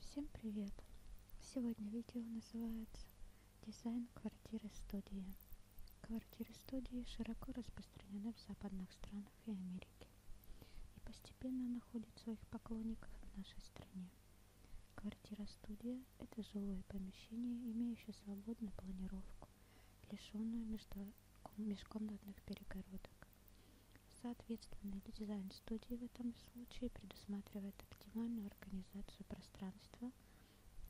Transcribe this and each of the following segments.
Всем привет! Сегодня видео называется «Дизайн квартиры-студии». Квартиры-студии широко распространены в западных странах и Америке и постепенно находит своих поклонников в нашей стране. Квартира-студия – это жилое помещение, имеющее свободную планировку, лишенную между... межкомнатных перегородок. Соответственно, дизайн студии в этом случае предусматривает оптимальную организацию пространства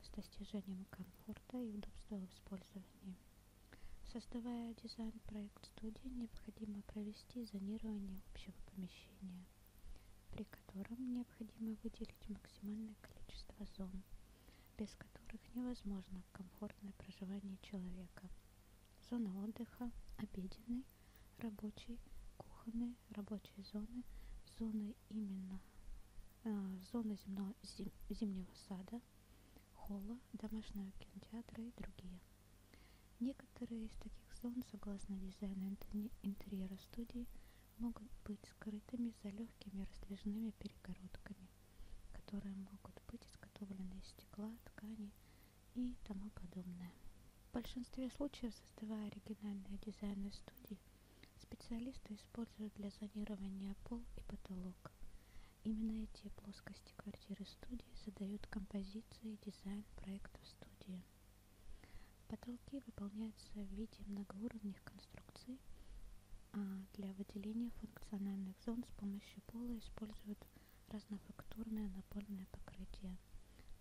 с достижением комфорта и удобства в использовании. Создавая дизайн проекта, проект студии необходимо провести зонирование общего помещения, при котором необходимо выделить максимальное количество зон, без которых невозможно комфортное проживание человека. Зона отдыха, обеденной, рабочей, кухонной, рабочей зоны, зоны именно э, зоны земного, зим, зимнего сада, холла, домашнего кинотеатра и другие. Некоторые из таких зон, согласно дизайну интерьера студии, могут быть скрытыми за легкими раздвижными перегородками, которые могут быть изготовлены из стекла, ткани и тому подобное. В большинстве случаев, создавая оригинальные дизайны студии, специалисты используют для зонирования пол и потолок. Именно эти плоскости квартиры студии задают композицию и дизайн проекта в студии. Потолки выполняются в виде многоуровневых конструкций, а для выделения функциональных зон с помощью пола используют разнофактурное напольное покрытие,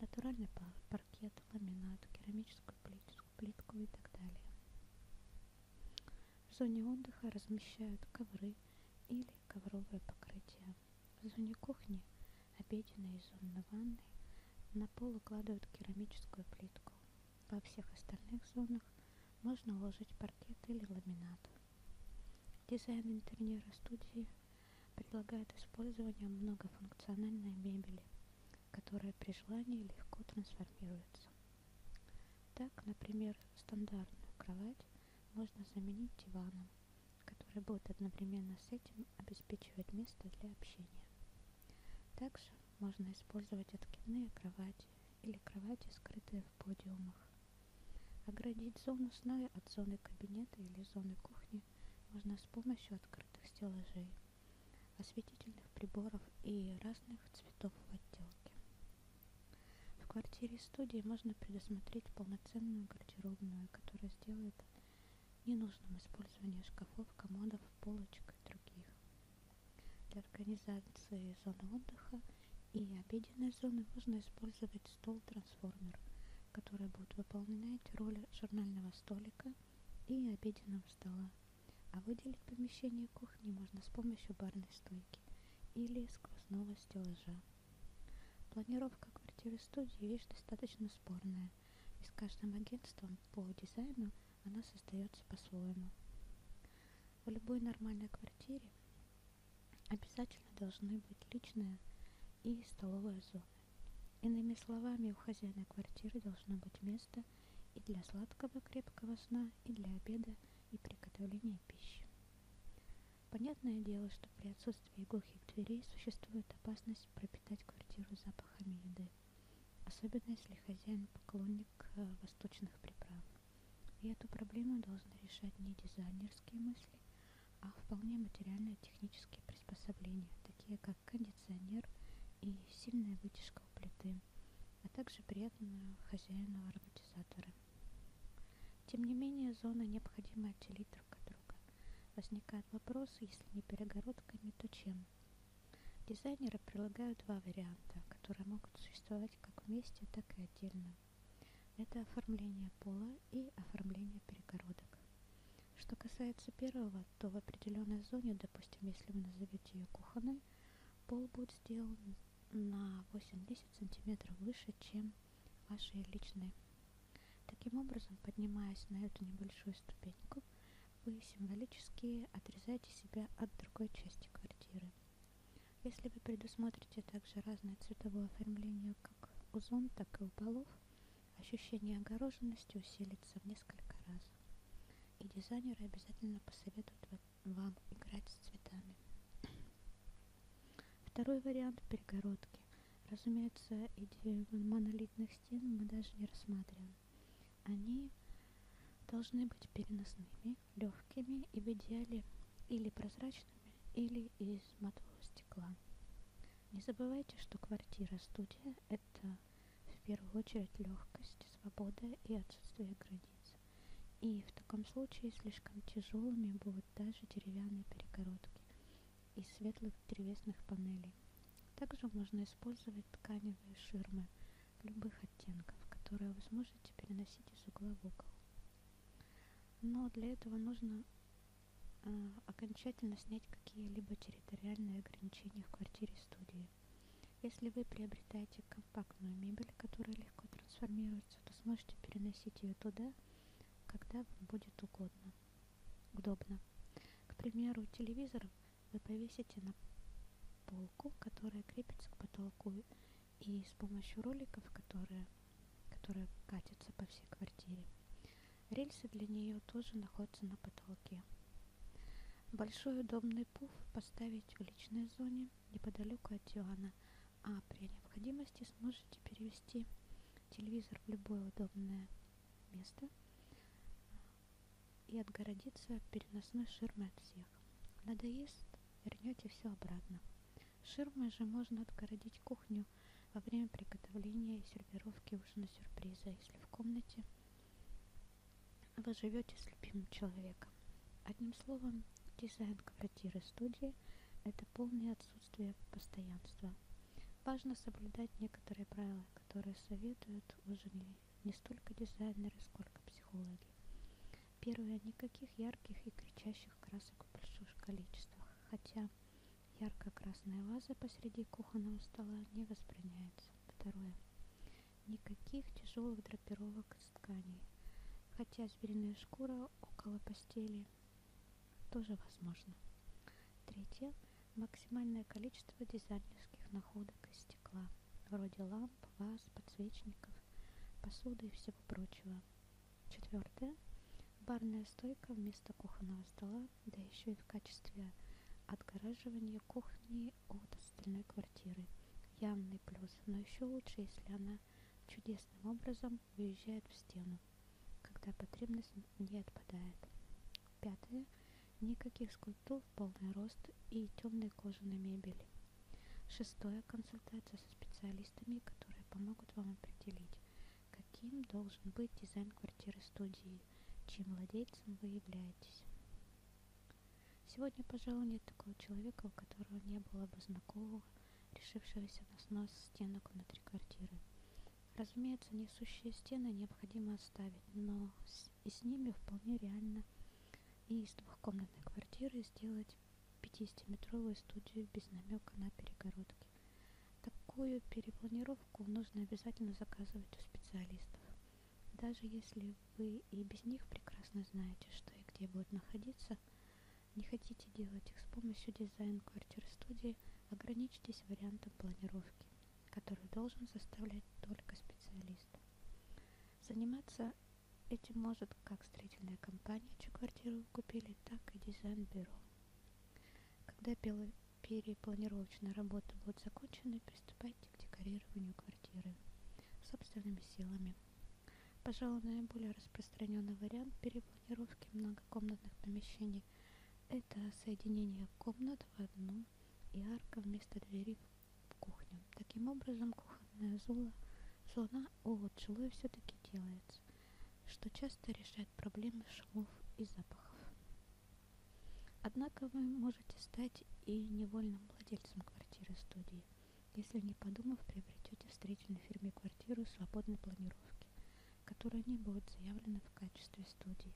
натуральный паркет, ламинат, керамическую плитку, плитку и так далее. В зоне отдыха размещают ковры или ковровое покрытие. В зоне кухни, обеденной и зонной ванной, на пол укладывают керамическую плитку. Во всех остальных зонах можно уложить паркет или ламинат. Дизайн интерьера студии предлагает использование многофункциональной мебели, которая при желании легко трансформируется. Так, например, стандартную кровать можно заменить диваном, который будет одновременно с этим обеспечивать место для общения. Также можно использовать откидные кровати или кровати, скрытые в подиумах. Оградить зону сна от зоны кабинета или зоны кухни можно с помощью открытых стеллажей, осветительных приборов и разных цветов в отделке. В квартире студии можно предусмотреть полноценную гардеробную, которая сделает ненужным использование шкафов, комодов, полочек и других. Для организации зоны отдыха и обеденной зоны можно использовать стол-трансформер, который будет выполнять роль журнального столика и обеденного стола. А выделить помещение кухни можно с помощью барной стойки или сквозного стеллажа. Планировка квартиры-студии – вещь достаточно спорная, и с каждым агентством по дизайну она создается по-своему. В любой нормальной квартире обязательно должны быть личная и столовая зона. Иными словами, у хозяина квартиры должно быть место и для сладкого крепкого сна, и для обеда, и приготовления пищи. Понятное дело, что при отсутствии глухих дверей существует опасность пропитать квартиру запахами еды, особенно если хозяин поклонник э, восточных приправ. И эту проблему должны решать не дизайнерские мысли, а вполне материальные технические приспособления, такие как кондиционер и сильная вытяжка у плиты, а также приятного хозяина ароматизатора. Тем не менее, зоны необходимо отделить друг от друга. Возникает вопрос, если не перегородками, то чем? Дизайнеры прилагают два варианта, которые могут существовать как вместе, так и отдельно. Это оформление пола и оформление перегородок. Что касается первого, то в определенной зоне, допустим, если вы назовете ее кухонной, пол будет сделан на 8-10 см выше, чем вашей личной. Таким образом, поднимаясь на эту небольшую ступеньку, вы символически отрезаете себя от другой части квартиры. Если вы предусмотрите также разное цветовое оформление как у зон, так и у полов, ощущение огороженности усилится в несколько раз. И дизайнеры обязательно посоветуют вам играть с цветами. Второй вариант – перегородки. Разумеется, идею монолитных стен мы даже не рассматриваем. Они должны быть переносными, легкими и в идеале или прозрачными, или из матового стекла. Не забывайте, что квартира-студия – это в первую очередь легкость, свобода и отсутствие границ. И в таком случае слишком тяжелыми будут даже деревянные перегородки, из светлых древесных панелей. Также можно использовать тканевые ширмы любых оттенков, которые вы сможете переносить из угла в угол. Но для этого нужно э, окончательно снять какие-либо территориальные ограничения в квартире-студии. Если вы приобретаете компактную мебель, которая легко трансформируется, то сможете переносить ее туда, когда вам будет угодно удобно. К примеру, телевизор вы повесите на полку, которая крепится к потолку, и с помощью роликов, которые, которые катятся по всей квартире. Рельсы для нее тоже находятся на потолке. Большой удобный пуф поставить в личной зоне неподалеку от дивана, а при необходимости сможете перевести перенести телевизор в любое удобное место и отгородиться переносной ширмой от всех. Надоест, вернете все обратно. Ширмой же можно отгородить кухню во время приготовления и сервировки ужина сюрприза, если в комнате вы живете с любимым человеком. Одним словом, дизайн квартиры студии – это полное отсутствие постоянства. Важно соблюдать некоторые правила, которые советуют уже не, не столько дизайнеры, сколько психологи. Первое, никаких ярких и кричащих красок в больших количествах, хотя ярко-красная ваза посреди кухонного стола не возбраняется. Второе, никаких тяжелых драпировок из тканей, хотя звериная шкура около постели тоже возможно. Третье. Максимальное количество дизайнерских находок из стекла, вроде ламп, ваз, подсвечников, посуды и всего прочего. Четвертое. Барная стойка вместо кухонного стола, да еще и в качестве отгораживания кухни от остальной квартиры. Явный плюс, но еще лучше, если она чудесным образом уезжает в стену, когда потребность не отпадает. Пятое. Никаких скульптур в полный рост и темной кожаной мебели. Шестое. Консультация со специалистами, которые помогут вам определить, каким должен быть дизайн квартиры-студии, чьим владельцем вы являетесь. Сегодня, пожалуй, нет такого человека, у которого не было бы знакомого, решившегося на снос стенок внутри квартиры. Разумеется, несущие стены необходимо оставить, но с, и с ними вполне реально и из двухкомнатной квартиры сделать 50-метровую студию без намека на перегородки. Такую перепланировку нужно обязательно заказывать у специалистов. Даже если вы и без них прекрасно знаете, что и где будет находиться, не хотите делать их с помощью дизайн-квартир-студии, ограничьтесь вариантом планировки, который должен составлять только специалист. Заниматься этим может как строительная компания, чью квартиру купили, так и дизайн-бюро. Когда перепланировочные работы будут закончены, приступайте к декорированию квартиры собственными силами. Пожалуй, наиболее распространенный вариант перепланировки многокомнатных помещений времени. Это соединение комнат в одну и арка вместо двери в кухню. Таким образом, кухонная зона, зона от жилой все-таки делается, что часто решает проблемы шумов и запахов. Однако вы можете стать и невольным владельцем квартиры-студии, если не подумав, приобретете в строительной фирме квартиру свободной планировки, которая не будет заявлена в качестве студии.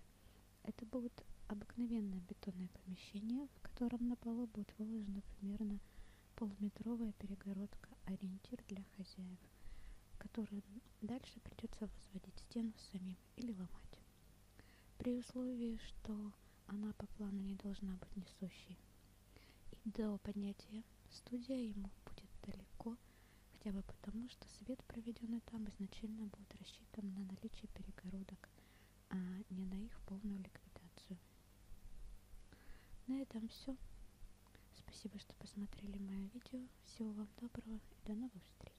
Это будет обыкновенное бетонное помещение, в котором на полу будет выложена примерно полуметровая перегородка, ориентир для хозяев, которые дальше придется возводить стену самим или ломать. При условии, что она по плану не должна быть несущей. И до поднятия студия ему будет далеко – хотя бы потому, что свет, проведенный там, изначально будет рассчитан на наличие перегородок, а не на их полную ликвидацию. На этом все. Спасибо, что посмотрели мое видео. Всего вам доброго и до новых встреч.